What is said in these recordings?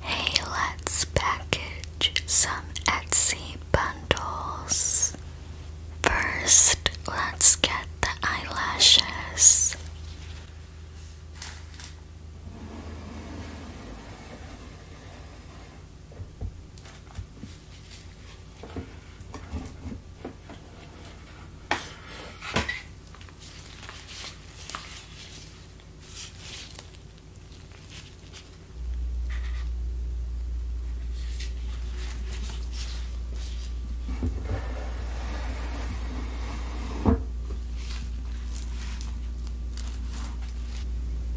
Hey, let's package some Etsy bundles. First, let's get the eyelashes.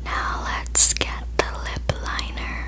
Now let's get the lip liner.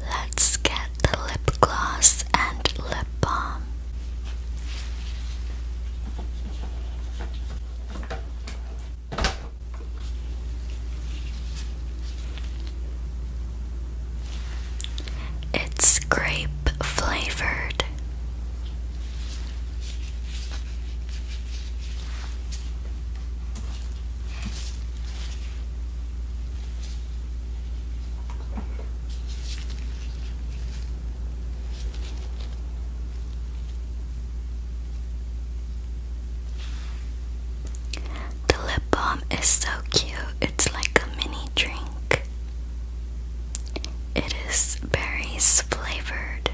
Let's get the lip gloss and lip balm. It's grape flavored. The lip balm is so cute, it's like a mini drink. It is berries flavored.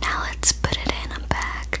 Now let's put it in a bag.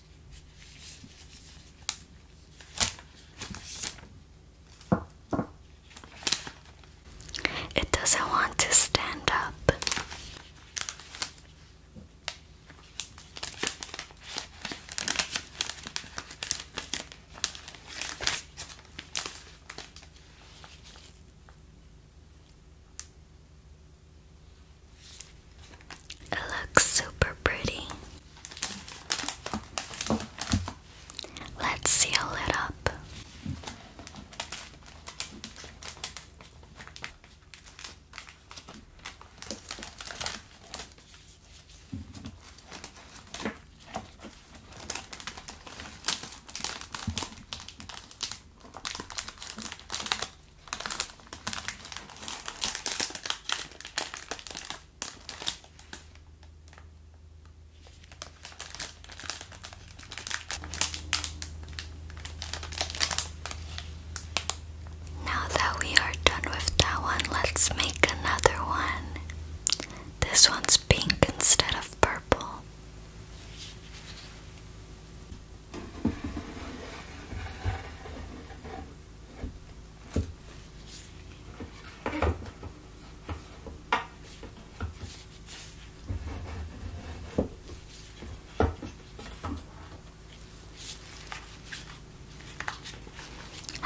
It doesn't want to stand up. It looks super pretty. Let's seal it up. Now that we are done with that one, let's make another one. This one's pink instead of purple.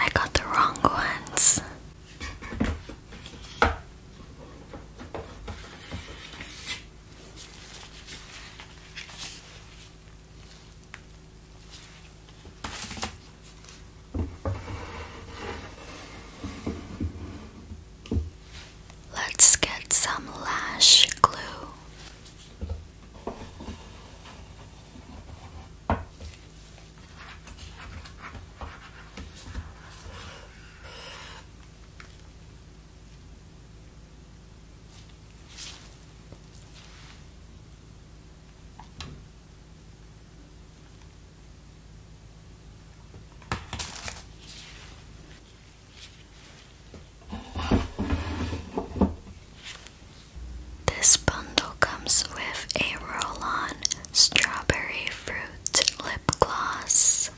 I got the wrong ones. Let's get some lash glue. This bundle comes with a roll on strawberry fruit lip gloss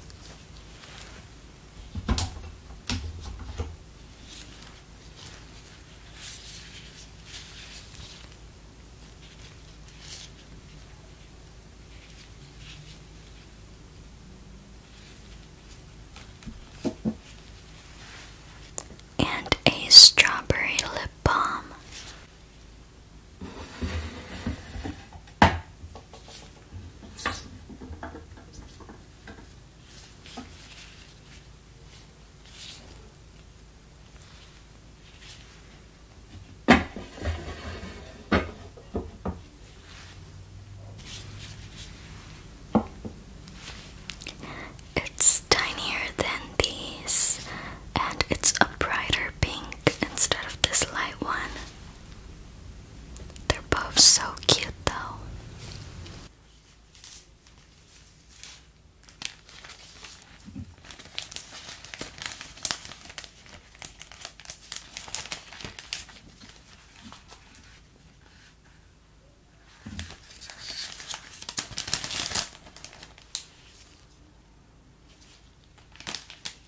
and a strawberry lip balm. It's tinier than these, and it's a brighter pink instead of this light one. They're both so cute, though.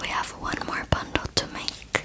We have one more bundle to make.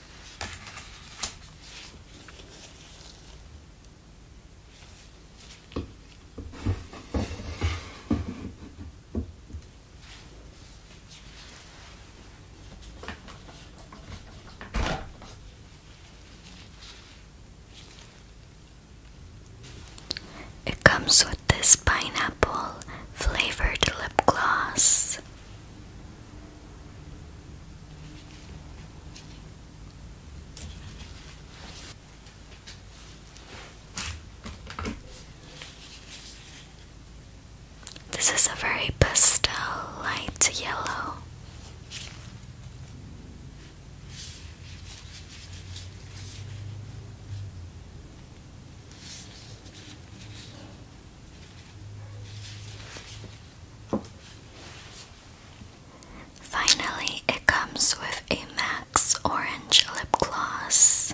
It comes with this pineapple flavored lip gloss. This is a very pastel light yellow. Finally, it comes with a Max Orange Lip Gloss.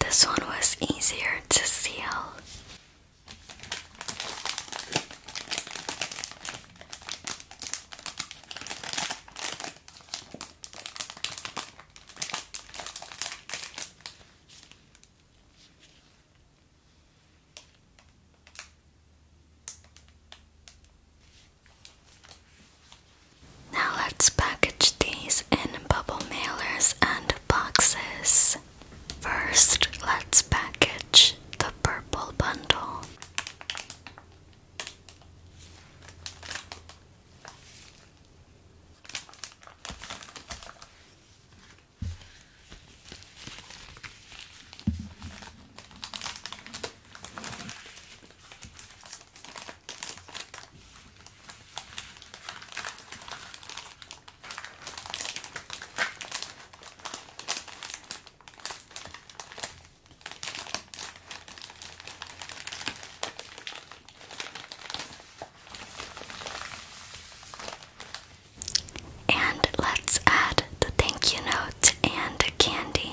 This one was easier to seal. Now let's package these in bubble mailers and boxes. First, let's package the purple bundle. And let's add the thank you note and candy.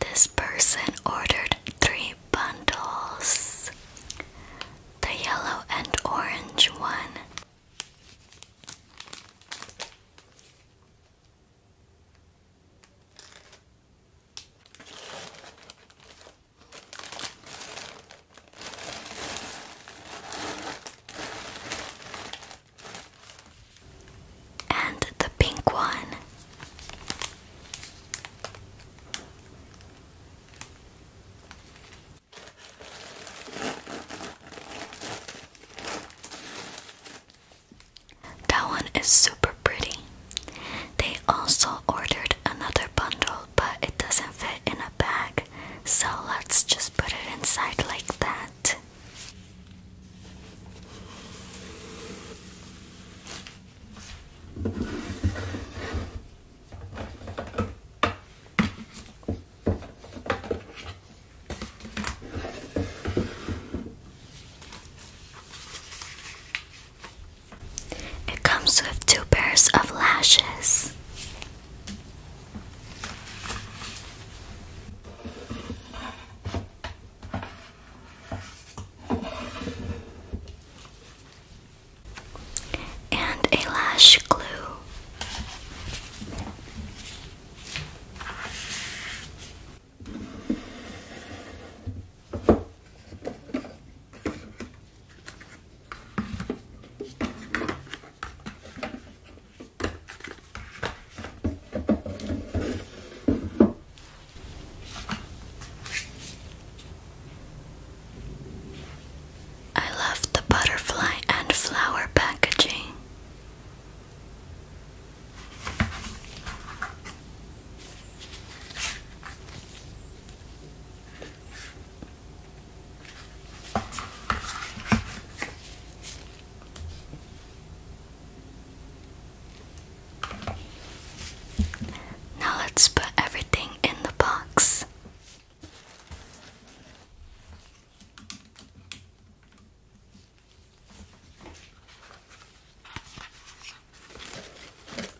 This person ordered three bundles the yellow and orange one. And the pink one. That one is super pretty. They also ordered another bundle but it doesn't fit in a bag, so let's just put it inside like that. It comes with two pairs of lashes. And a lash glue. I love the butterfly and flower packaging. Now let's put everything in the box.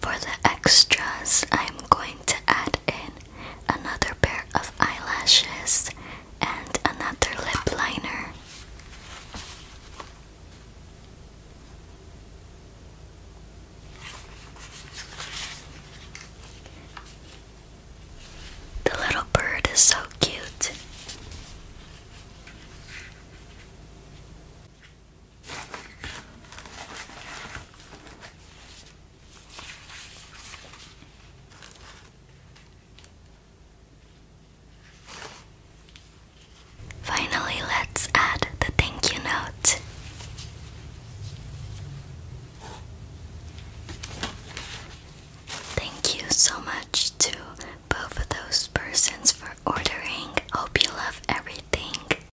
For the extras, I'm going to add in another pair of eyelashes and another lip liner. The little bird is so cute. Finally, let's add the thank you note. Thank you so much to both of those persons for ordering. Hope you love everything.